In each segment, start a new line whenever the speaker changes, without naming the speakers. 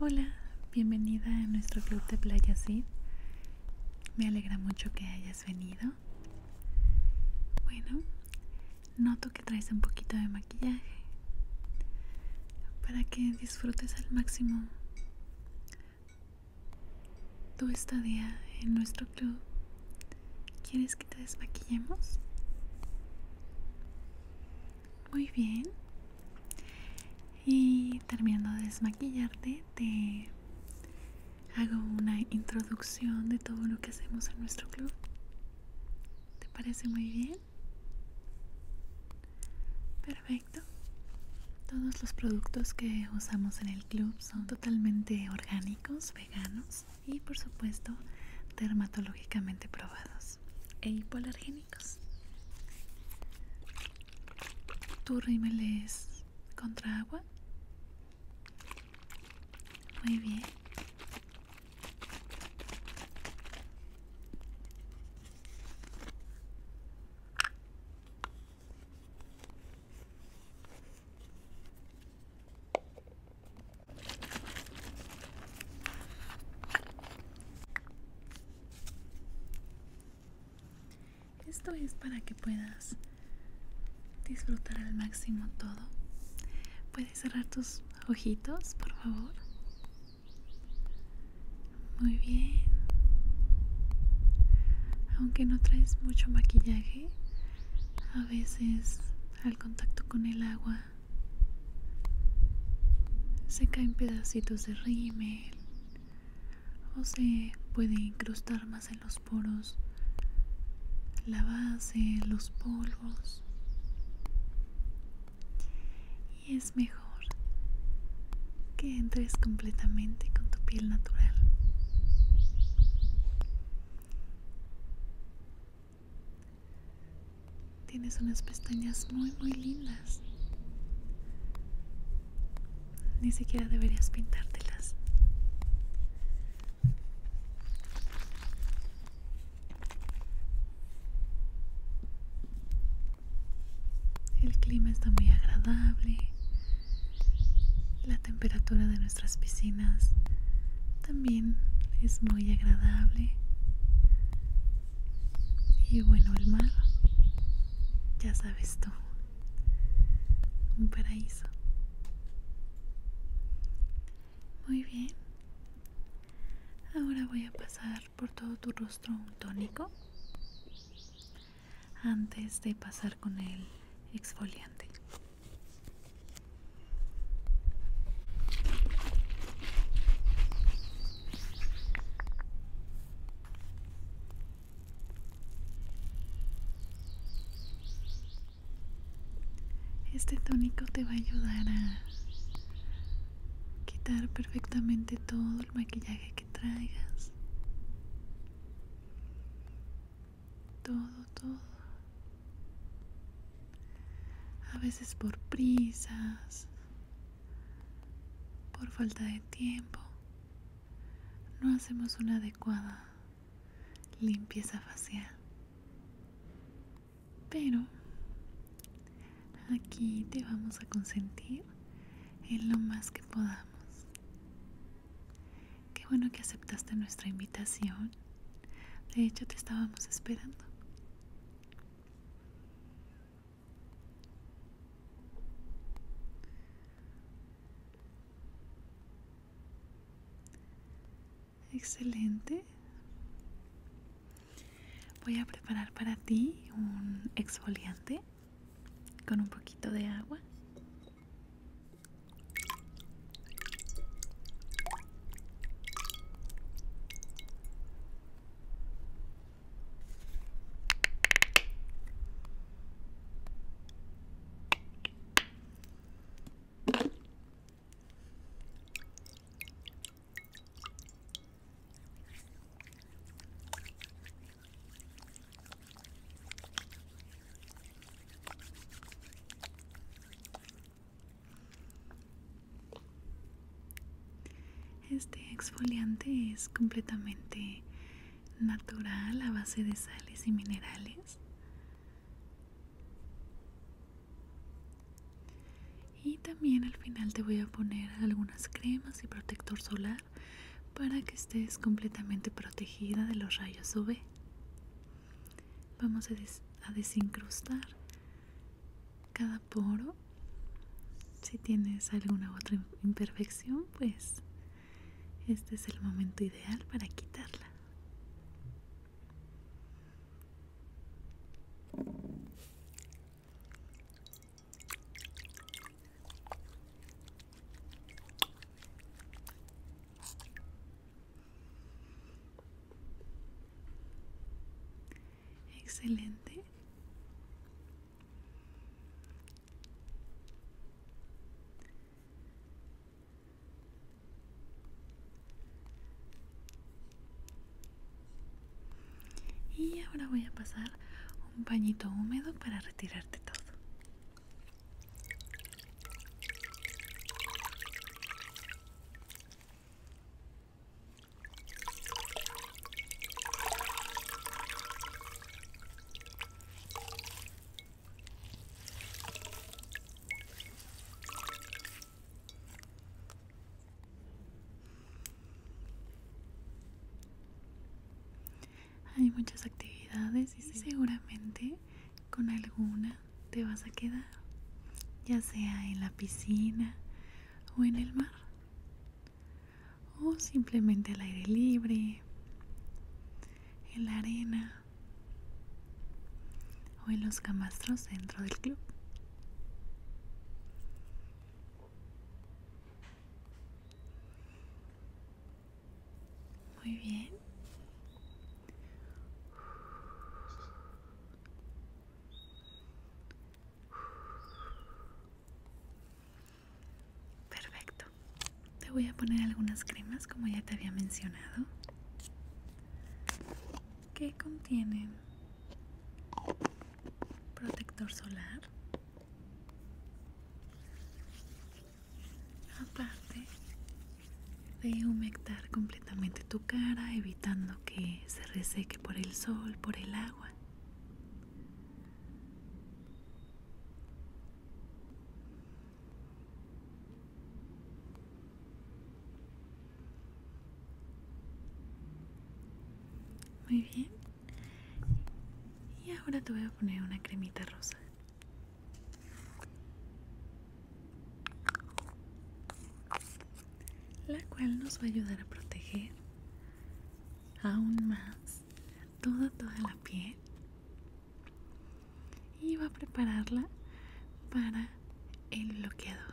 Hola, bienvenida a nuestro club de Playa Sid. Me alegra mucho que hayas venido. Bueno, noto que traes un poquito de maquillaje para que disfrutes al máximo tu día en nuestro club. ¿Quieres que te desmaquillemos? Muy bien. Y terminando de desmaquillarte, te hago una introducción de todo lo que hacemos en nuestro club. ¿Te parece muy bien? Perfecto. Todos los productos que usamos en el club son totalmente orgánicos, veganos y por supuesto dermatológicamente probados e hipoalergénicos. ¿Tu rímel es contra agua? Muy bien. Esto es para que puedas disfrutar al máximo todo. ¿Puedes cerrar tus ojitos, por favor? Muy bien. Aunque no traes mucho maquillaje, a veces al contacto con el agua se caen pedacitos de rímel o se puede incrustar más en los poros la base, los polvos. Y es mejor que entres completamente con tu piel natural. Tienes unas pestañas muy muy lindas. Ni siquiera deberías pintártelas. El clima está muy agradable. La temperatura de nuestras piscinas también es muy agradable. Y bueno, el mar, ya sabes tú, un paraíso. Muy bien, ahora voy a pasar por todo tu rostro un tónico antes de pasar con el exfoliante. Este tónico te va a ayudar a quitar perfectamente todo el maquillaje traigas. Todo, todo. A veces por prisas, por falta de tiempo, no hacemos una adecuada limpieza facial. Pero Aquí te vamos a consentir en lo más que podamos. Qué bueno que aceptaste nuestra invitación. De hecho, te estábamos esperando. Excelente. Voy a preparar para ti un exfoliante con un poquito de agua este exfoliante es completamente natural a base de sales y minerales y también al final te voy a poner algunas cremas y protector solar para que estés completamente protegida de los rayos UV vamos a, desincrustar cada poro si tienes alguna otra imperfección pues este es el momento ideal para quitarla Excelente y ahora voy a pasar un pañito húmedo para retirarte todo hay muchas actividades y seguramente con alguna te vas a quedar, ya sea en la piscina o en el mar, o simplemente al aire libre, en la arena o en los camastros dentro del club. Muy bien. Perfecto. Te voy a poner algunas cremas como ya te había mencionado. Que contienen protector solar. Aparte de humectar completamente tu cara, evitando que se reseque por el sol, por el agua. Muy bien. Y ahora te voy a poner una cremita rosa. La cual nos va a ayudar a proteger aún más toda toda la piel y va a prepararla para el bloqueador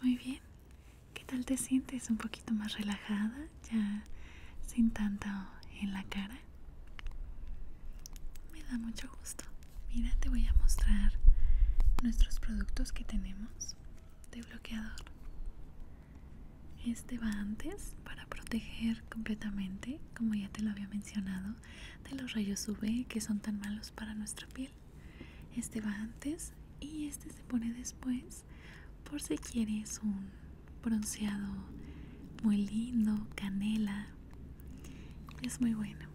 muy bien, ¿qué tal te sientes? ¿Un poquito más relajada? ¿Ya sin tanto en la cara? me da mucho gusto mira te voy a mostrar nuestros productos que tenemos de bloqueador este va antes para proteger completamente como ya te lo había mencionado de los rayos UV que son tan malos para nuestra piel este va antes y este se pone después por si quieres un bronceado muy lindo, canela es muy bueno.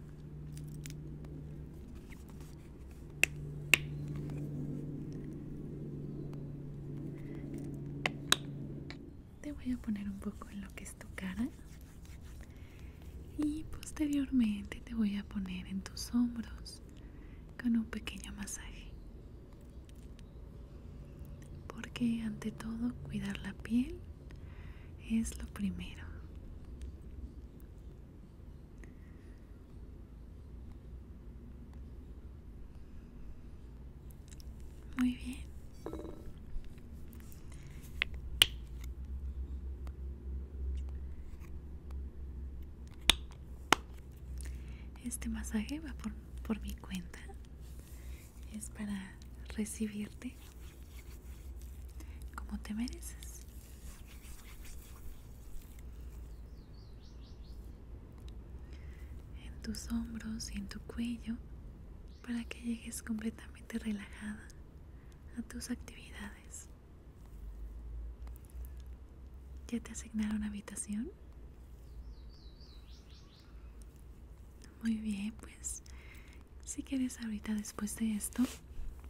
Te voy a poner un poco en lo que es tu cara y posteriormente te voy a poner en tus hombros con un pequeño masaje. Porque ante todo cuidar la piel es lo primero muy bien este masaje va por, por mi cuenta es para recibirte como te mereces. En tus hombros y en tu cuello para que llegues completamente relajada a tus actividades. ¿Ya te asignaron habitación? Muy bien, pues si quieres ahorita después de esto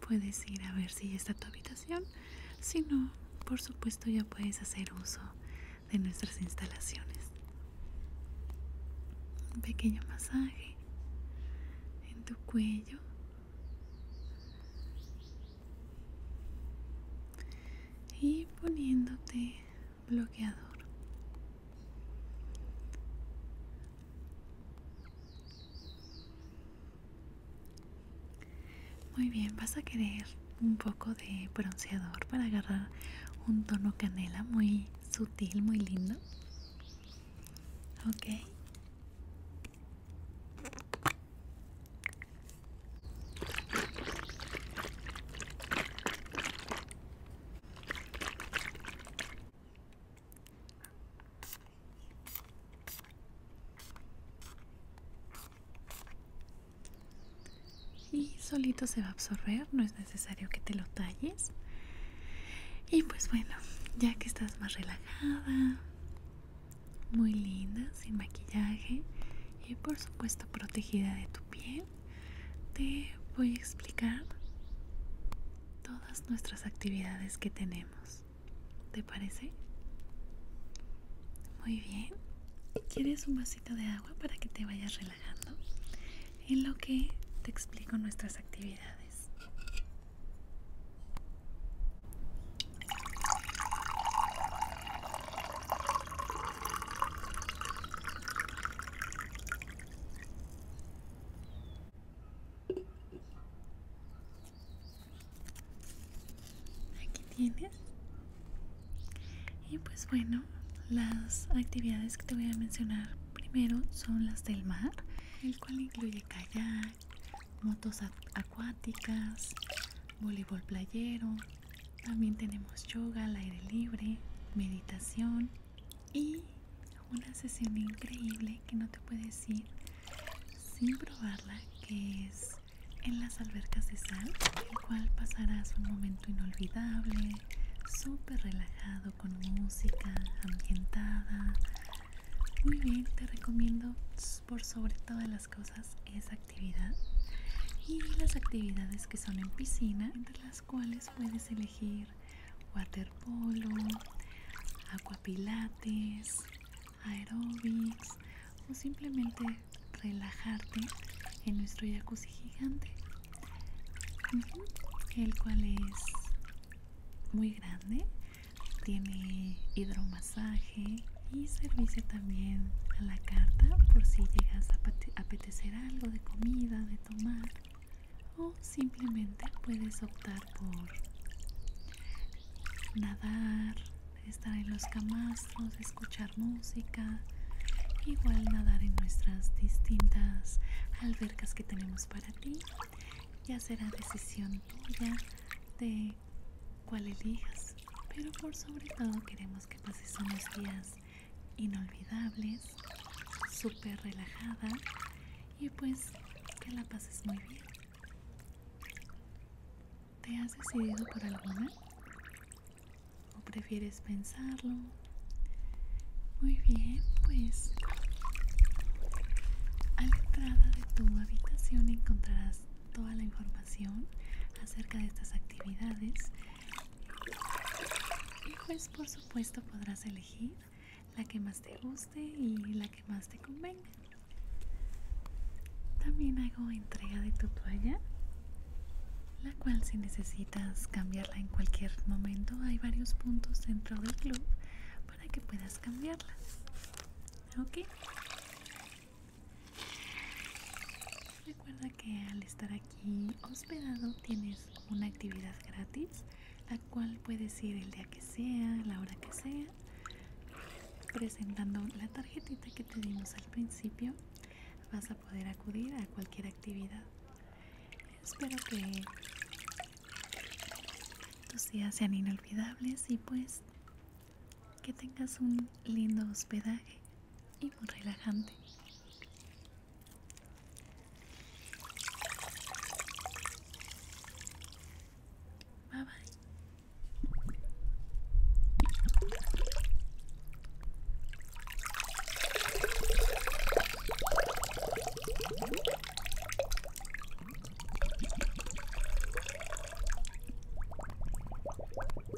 puedes ir a ver si está tu habitación. Si no, por supuesto ya puedes hacer uso de nuestras instalaciones. Un pequeño masaje en tu cuello. Y poniéndote bloqueador. Muy bien, vas a querer un poco de bronceador para agarrar un tono canela muy sutil, muy lindo. Ok. Y solito se va a absorber, no es necesario que te lo talles. Y pues bueno, ya que estás más relajada, muy linda, sin maquillaje y por supuesto protegida de tu piel, te voy a explicar todas nuestras actividades que tenemos. ¿Te parece? Muy bien. ¿Quieres un vasito de agua para que te vayas relajando? En lo que te explico nuestras actividades. Aquí tienes. Y pues bueno, las actividades que te voy a mencionar primero son las del mar, el cual incluye kayak, motos acuáticas, voleibol playero, también tenemos yoga al aire libre, meditación y una sesión increíble que no te puedes ir sin probarla, que es en las albercas de sal, el cual pasarás un momento inolvidable, súper relajado con música ambientada. Muy bien, te recomiendo por sobre todas las cosas esa actividad. Y las actividades que son en piscina, entre cuales puedes elegir waterpolo, aquapilates, aerobics o simplemente relajarte en nuestro jacuzzi gigante, el cual es muy grande, tiene hidromasaje y servicio también a la carta por si llegas a, a ser algo de comida, de tomar, o simplemente puedes optar por nadar, estar en los camastros, escuchar música, igual nadar en nuestras distintas albercas que tenemos para ti. Ya será decisión tuya de cuál elijas, pero por sobre todo queremos que pases unos días inolvidables, súper relajada y pues que la pases muy bien. ¿Te has decidido por alguna? ¿O prefieres pensarlo? Muy bien, pues a la entrada de tu habitación encontrarás toda la información acerca de estas actividades y pues por supuesto podrás elegir la que más te guste y la que más te convenga. También hago entrega de tu toalla, la cual si necesitas cambiarla en cualquier momento, hay varios puntos dentro del club para que puedas cambiarla. ¿Ok? Recuerda que al estar aquí hospedado tienes una actividad gratis, la cual puedes ir el día que sea, la hora que sea, presentando la tarjetita que te dimos al principio. Vas a poder acudir a cualquier actividad. Espero que tus días sean inolvidables y pues que tengas un lindo hospedaje y muy relajante. Bye bye.